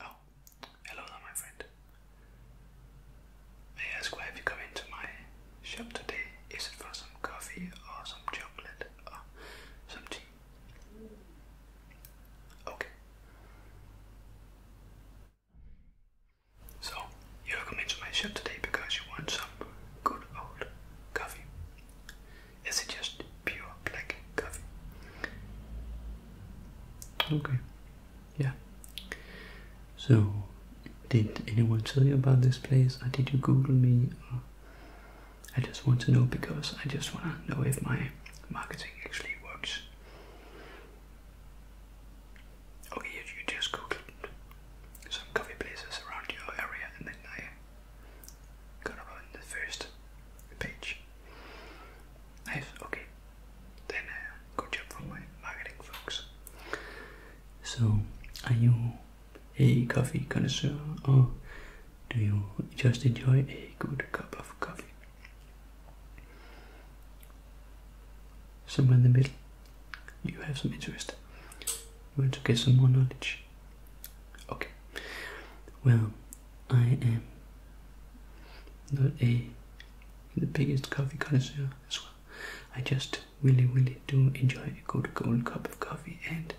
Oh, hello there, my friend. May I ask why have you come into my shop today? Is it for some coffee or some chocolate or some tea? Okay. So, you have come into my shop today because you want some good old coffee. Is it just pure black coffee? Okay, yeah. So, did anyone tell you about this place, or uh, did you Google me? Uh, I just want to know because I just want to know if my marketing actually works. Okay, oh, you just Googled some coffee places around your area, and then I gonna run the first page. Nice, okay. Then uh, good job for my marketing folks. So, are you a coffee connoisseur or do you just enjoy a good cup of coffee? Somewhere in the middle, you have some interest. want to get some more knowledge. Okay. Well, I am not a the biggest coffee connoisseur as well. I just really, really do enjoy a good cold cup of coffee, and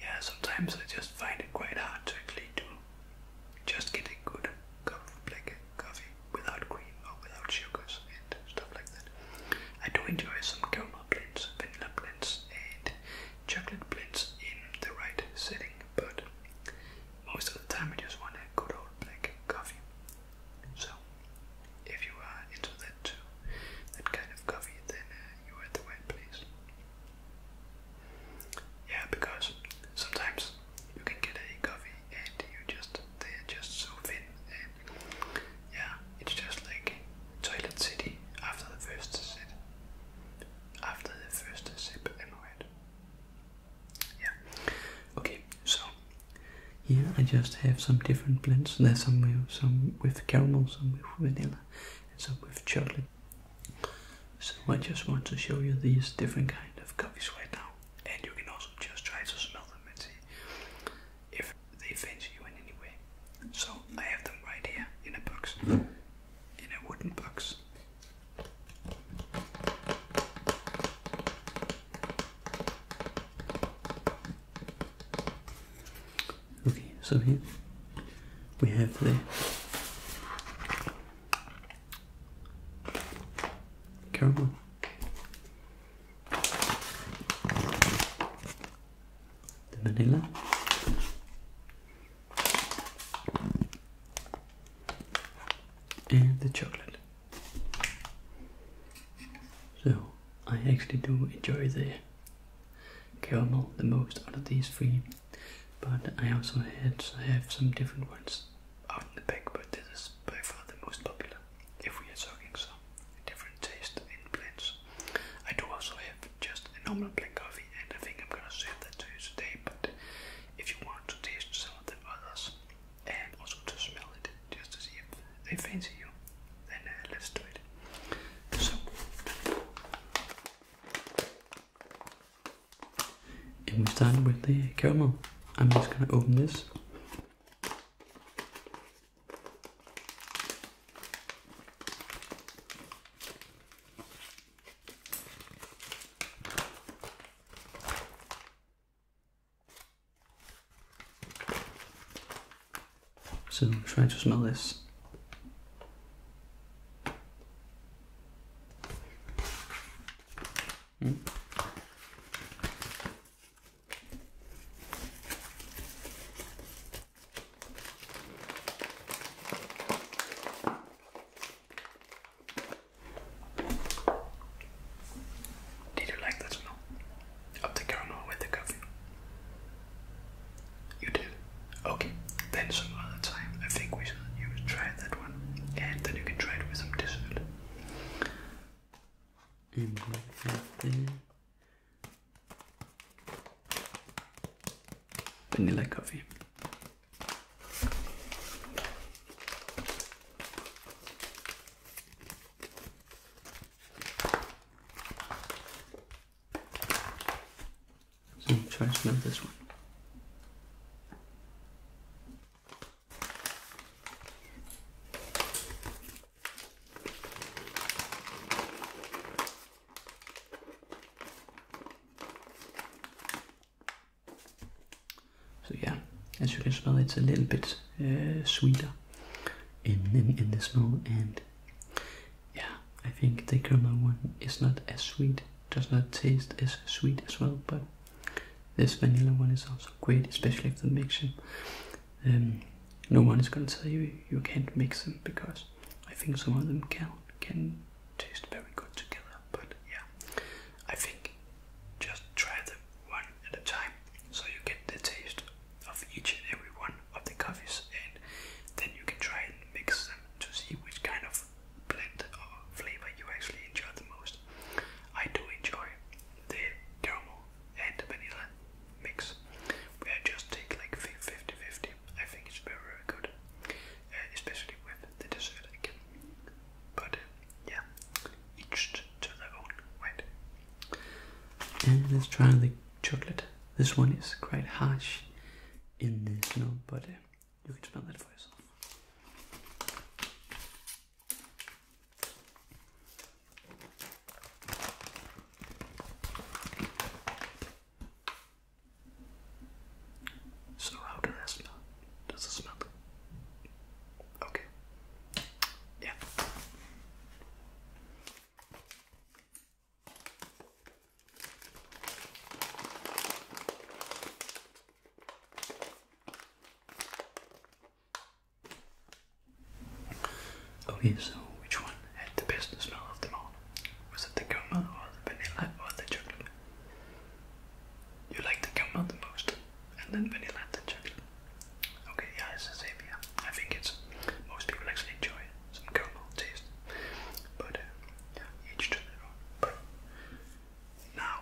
yeah, sometimes I just find it quite hard to actually do just get a good cup of black coffee without cream or without sugars and stuff like that. I do enjoy some caramel blends, vanilla blends, and chocolate blends in the right setting, but most of the time I just want a good old black coffee. So, if you are into that too, that kind of coffee, then uh, you are the right place. Yeah, because sometimes you can get a coffee and you just they're just so thin and yeah, it's just like Toilet City after the first sip after the first sip annoyed. Yeah. Okay, so here I just have some different blends. There's some with, some with caramel, some with vanilla, and some with chocolate. So I just want to show you these different kind of coffees right now, and you can also just try to smell them and see if they fancy you in any way. So I have them right here in a box in a wooden box. Okay, so here we have the caramel. The vanilla, and the chocolate. So I actually do enjoy the caramel the most out of these three, but I also had have some different ones out in the back. But this is by far the most popular. If we are talking some different taste in plants. I do also have just a normal black coffee, and I think I'm gonna serve that to you today. But if you want to taste some of the others and also to smell it, just to see if they fancy you, then uh, let's do it. So, and we start with the caramel. I'm just gonna open this. So try to smell this. Mm. Did you like that smell of the caramel with the coffee? You did? Okay, then some other time I think we should try that one and then you can try it with some dessert. And like that vanilla coffee. So try to smell this one. So yeah, as you can smell, it's a little bit uh, sweeter in, in, in the smell, and yeah, I think the caramel one is not as sweet, does not taste as sweet as well, but this vanilla one is also great, especially if they mix them. Um, no one is gonna say you can't mix them because I think some of them can can taste very good together. But yeah, I think just try them one at a time so you get the taste of each and every one of the coffees, and then you can try and mix them to see which kind of blend or flavor you actually enjoy the most. I do enjoy the caramel and vanilla mix, where just take like 50 I think it's very, very good, uh, especially with the dessert again. But uh, yeah, each to their own, right? And let's try the chocolate. This one is quite harsh in this snow, but uh, you can smell that for yourself. So how does that smell? Does it smell Okay. Yeah. Okay, so which one and the best smell of them all? Was it the gum or the vanilla or the chocolate? You like the gum the most, and then vanilla and then chocolate. Okay, yeah, it's the same Yeah, I think it's most people actually enjoy some caramel taste, but uh, yeah, each to their own. But now,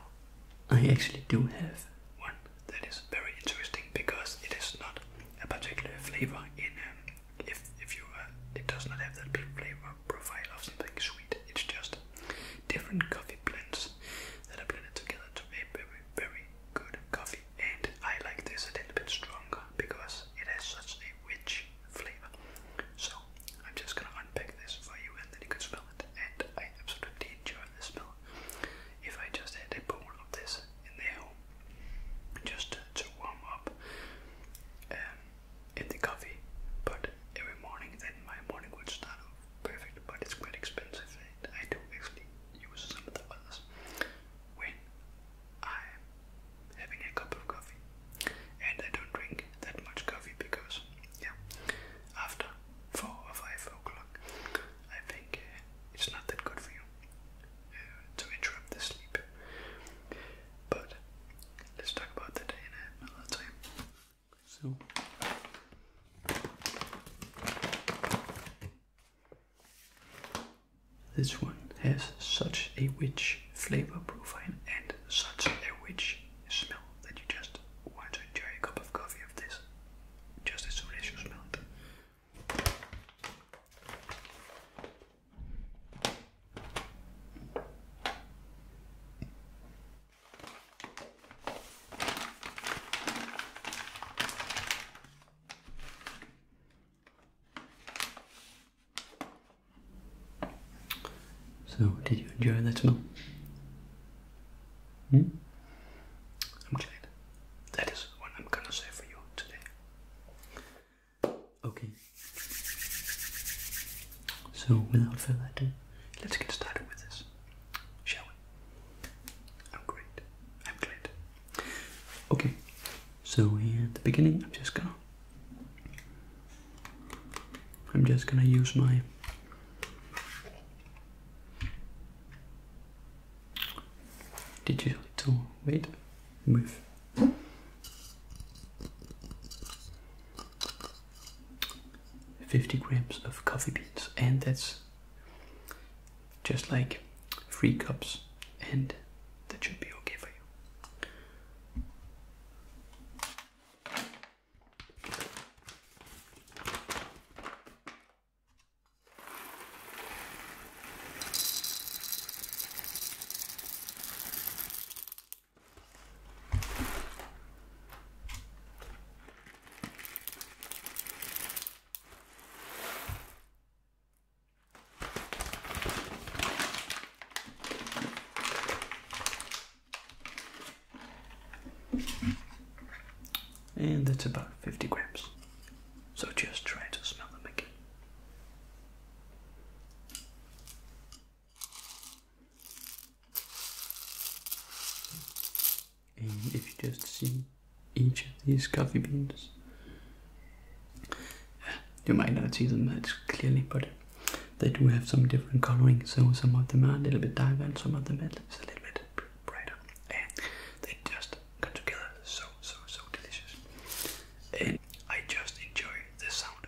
I actually do have one that is very interesting because it is not a particular flavor in um, if if you uh, it does not have that flavor profile of something sweet. It's just different coffee blends that are blended together to make very very good coffee. And I like this a little bit stronger because it has such a rich flavor. So I'm just gonna unpack this for you, and then you can smell it. And I absolutely enjoy the smell. If I just had a bowl of this in there, just to warm up, um, in the coffee, but every morning then my morning would start off perfect, but it's quite expensive and I do actually use some of the others when I'm having a cup of coffee. And I don't drink that much coffee because, yeah, after 4 or 5 o'clock, I think uh, it's not that good for you uh, to interrupt the sleep. But let's talk about that in another time. So this one has such a rich flavor profile and such a rich smell that you just want to enjoy a cup of coffee of this just as soon as you smell it. So, did you enjoy that smell? Hmm? I'm glad. That is what I'm gonna say for you today. Okay. So, without further ado, let's get started with this, shall we? I'm great. I'm glad. Okay. So here at the beginning, I'm just gonna, I'm just gonna use my digital tool. Wait with fifty grams of coffee beans, and that's just like three cups, and that should be okay for you. And that's about 50 grams. So just try to smell them again and if you just see each of these coffee beans you might not see them that clearly but they do have some different coloring so some of them are a little bit darker and some of them are a little bit brighter and they just come together so so so delicious and I just enjoy the sound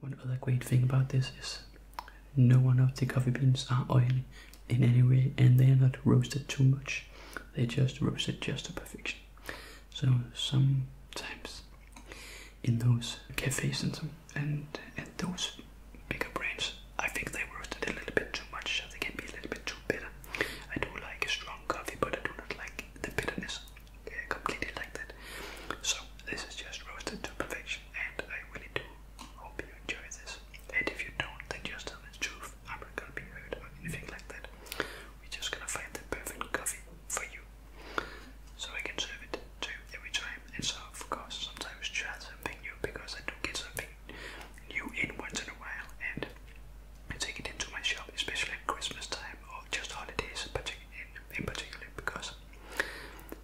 one other great thing about this is no one of the coffee beans are oily in any way and they are not roasted too much. They just roasted just to perfection. So sometimes in those cafes and and at those bigger brands, I think they roasted a little bit too much, so they can be a little bit too bitter. I do like a strong coffee, but I do not like the bitterness I uh, completely like that. So this is just roasted to perfection, and I really do hope you enjoy this. And if you don't, then just tell the truth of Abercrombie herd or anything like that. We're just gonna find the perfect coffee for you. So I can serve it to you every time. And so of course sometimes try something new because I do get something new in once in a while and I take it into my shop, especially at Christmas time or just holidays in, in particular because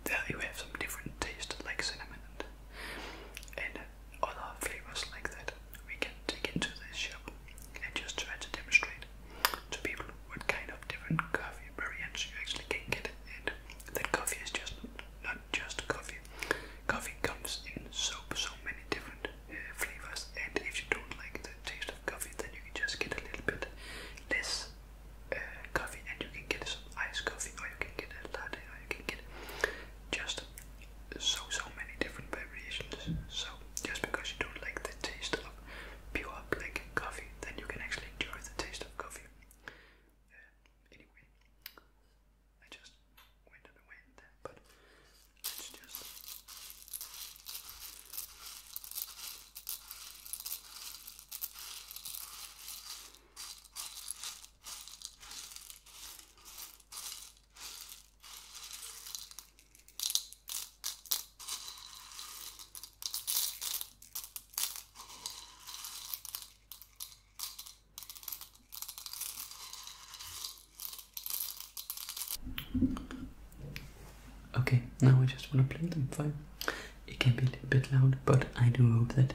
there you have some different taste like cinnamon and other flavors like that we can take into this shop and just try to demonstrate to people what kind of different coffee variants you actually can get and that coffee is just not just coffee. Coffee comes in so so many different uh, flavors and if you don't like the taste of coffee then you can just get a little bit less uh, coffee and you can get some iced coffee or you can get a latte or you can get just so so many different variations. So just because you don't like the taste of pure black coffee, then you can actually enjoy the taste of coffee. Uh, anyway, I just went on a there, but it's just. Okay, now I just want to play them fine. It can be a little bit loud, but I do hope that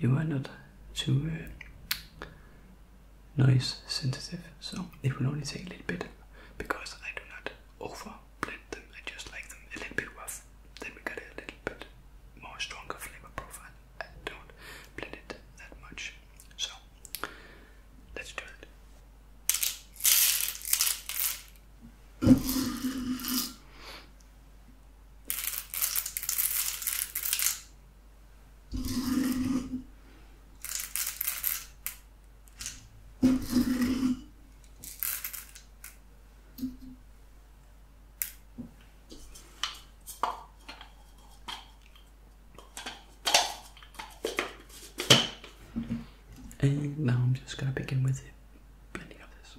you are not too uh, Nice, sensitive, so it will only take a little bit because I do not over blend them. I just like them a little bit rough. Then we get a little bit more stronger flavor profile. I don't blend it that much, so let's do it. And now I'm just gonna begin with it. Blending of this.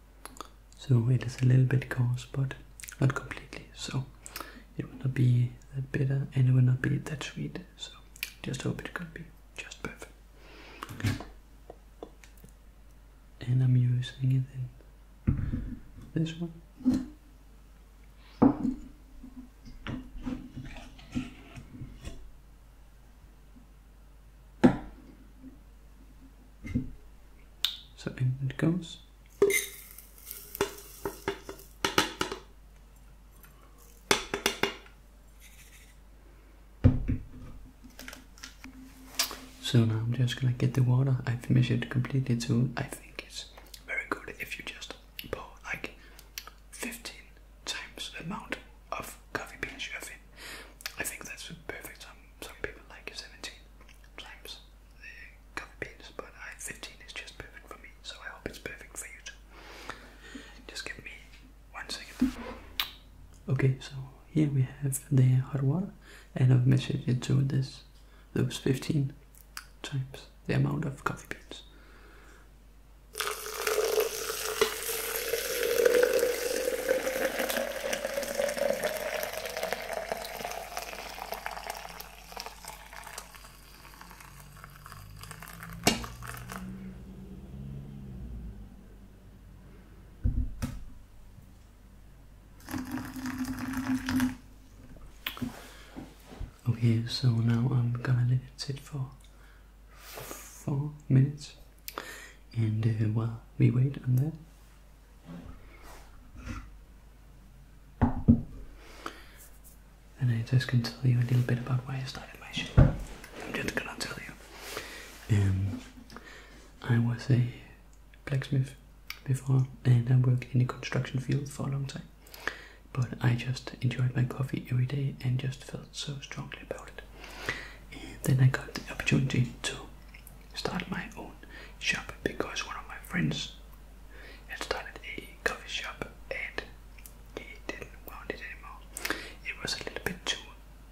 so it is a little bit coarse but not completely so it will not be that bitter and it will not be that sweet so just hope it can be just perfect and I'm using it in this one so in it goes so now I'm just gonna get the water. I've measured completely to I think it's very good if you just pour like 15 times the amount of coffee beans you have in. I think that's perfect Some people like 17 times the coffee beans, but i15 is just perfect for me, so I hope it's perfect for you too. Just give me one second. Okay, so here we have the hot water, and I've measured it to this, those 15 times the amount of coffee beans. Okay, so now I'm gonna let it sit for four minutes, and uh, while we wait on that, and I just can tell you a little bit about why I started my channel. I'm just gonna tell you. Um, I was a blacksmith before and I worked in the construction field for a long time. But I just enjoyed my coffee every day and just felt so strongly about it. then I got the opportunity to Started my own shop because one of my friends had started a coffee shop and he didn't want it anymore. It was a little bit too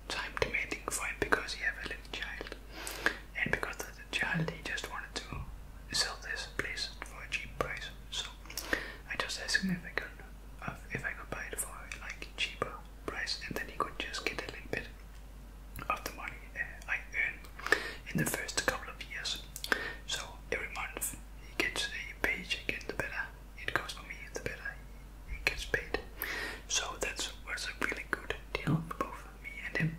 time demanding for him because he had a little child and because of the child he just wanted to sell this place for a cheap price. So I just asked if I could if I could buy it for like cheaper price and then he could just get a little bit of the money uh, I earn in the first couple of years. So every month he gets a paycheck, and the better it goes for me, the better he gets paid. So that was a really good deal for both me and him.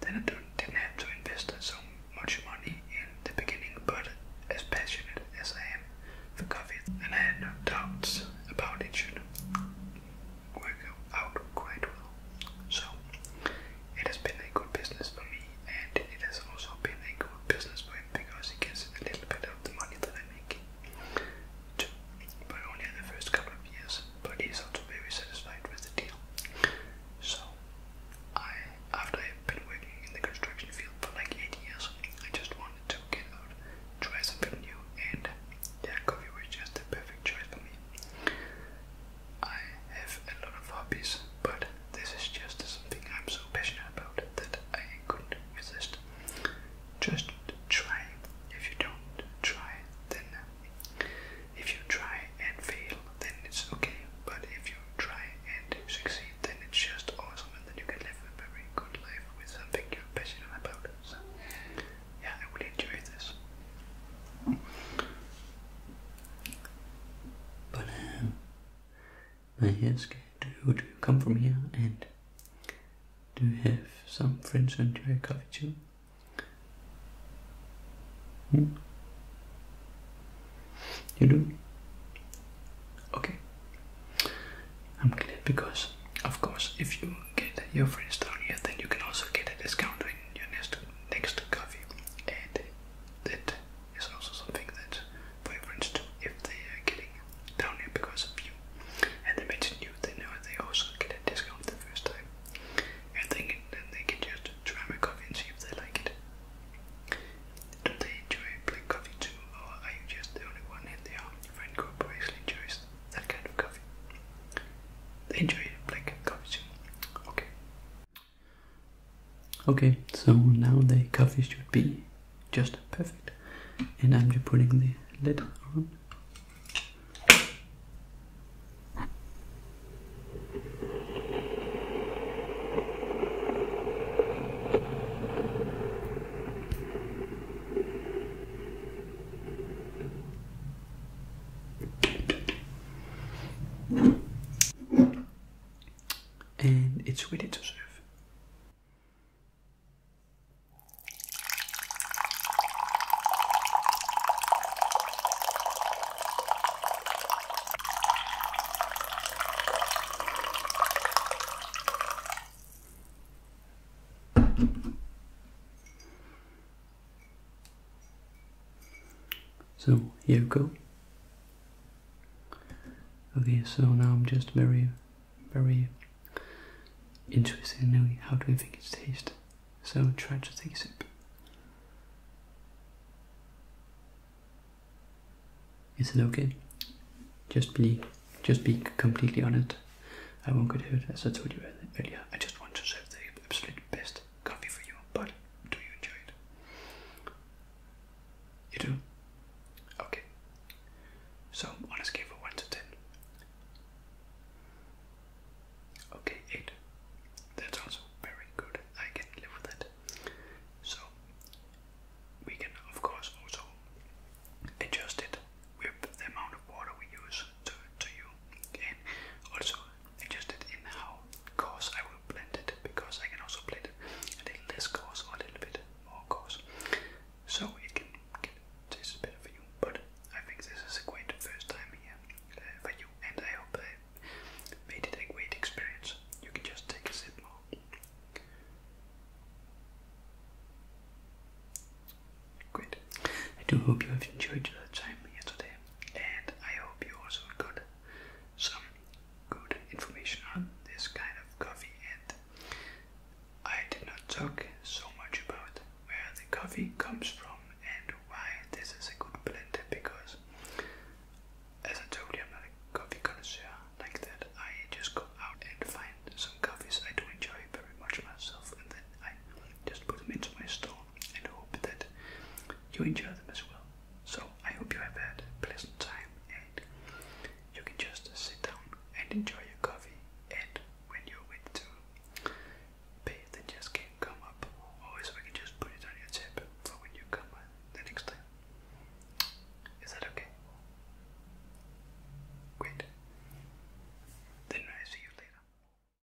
Then I didn't have to invest so much money in the beginning, but as passionate as I am for coffee, and had no doubts about it should work out quite well. So it has been a good business for me, and it has also been a good business for him because he gets a little bit of the money that I make, too, but only in the first couple of years. But he's also very satisfied with the deal. So I, after I've been working in the construction field for like eight years, I just wanted to get out, try something new, and yeah, coffee was just the perfect choice for me. I have a lot of hobbies, but this is just something I'm so passionate about that I couldn't resist. Just try. If you don't try, then if you try and fail, then it's okay. But if you try and succeed, then it's just awesome, and then you can live a very good life with something you're passionate about yeah, I would enjoy this. But um, uh, yes, would you come from here and do you have some friends and your coffee too? Hmm? You do? Okay. I'm glad because, of course, if you get your friends down here, then you can also get a discount in your next next to coffee, and that is also something that vagrants do if they are getting down here because of you. And they mention you, they know they also get a discount the first time, and then they can just try my coffee and see if they like it. Do they enjoy black coffee too, or are you just the only one in their uh, friend group who enjoys that kind of coffee. They enjoy black coffee too. Okay. Okay, so now the coffee should be just perfect. And I'm just putting the lid on and it's ready to serve. So here you go. Okay, so now I'm just very, very interested in knowing how do you think it tastes. So try to take a sip. Is it okay? Just be, just be completely honest. I won't get hurt, as I told you earlier. I just want to serve the absolute best best coffee for you, but do you enjoy it? You do? Okay. So, on a scale of 1 to 10. Okay, 8. That's also very good. I can live with that. So, we can, of course, also adjust it with the amount of water we use to, to you, and also adjust in how coarse I will blend it because I can also blend a little less coarse or a little bit more coarse. So it can, can taste better for you. But I think this is a great first time here uh, for you and I hope I made it a great experience. You can just take a sip more. Great. I do hope you have enjoyed your time here today, and I hope you also got some good information on this kind of coffee. And I did not talk so much about where the coffee comes from and why this is a good blend because, as I told you, I'm not a coffee connoisseur like that. I just go out and find some coffees I do enjoy very much myself, and then I just put them into my store and hope that you enjoy them as well. So I hope you have had a pleasant time and you can just sit down and enjoy your coffee and when you're with to pay then just can come up or so we can just put it on your tip for when you come the next time. Is that okay? Great. Then I see you later.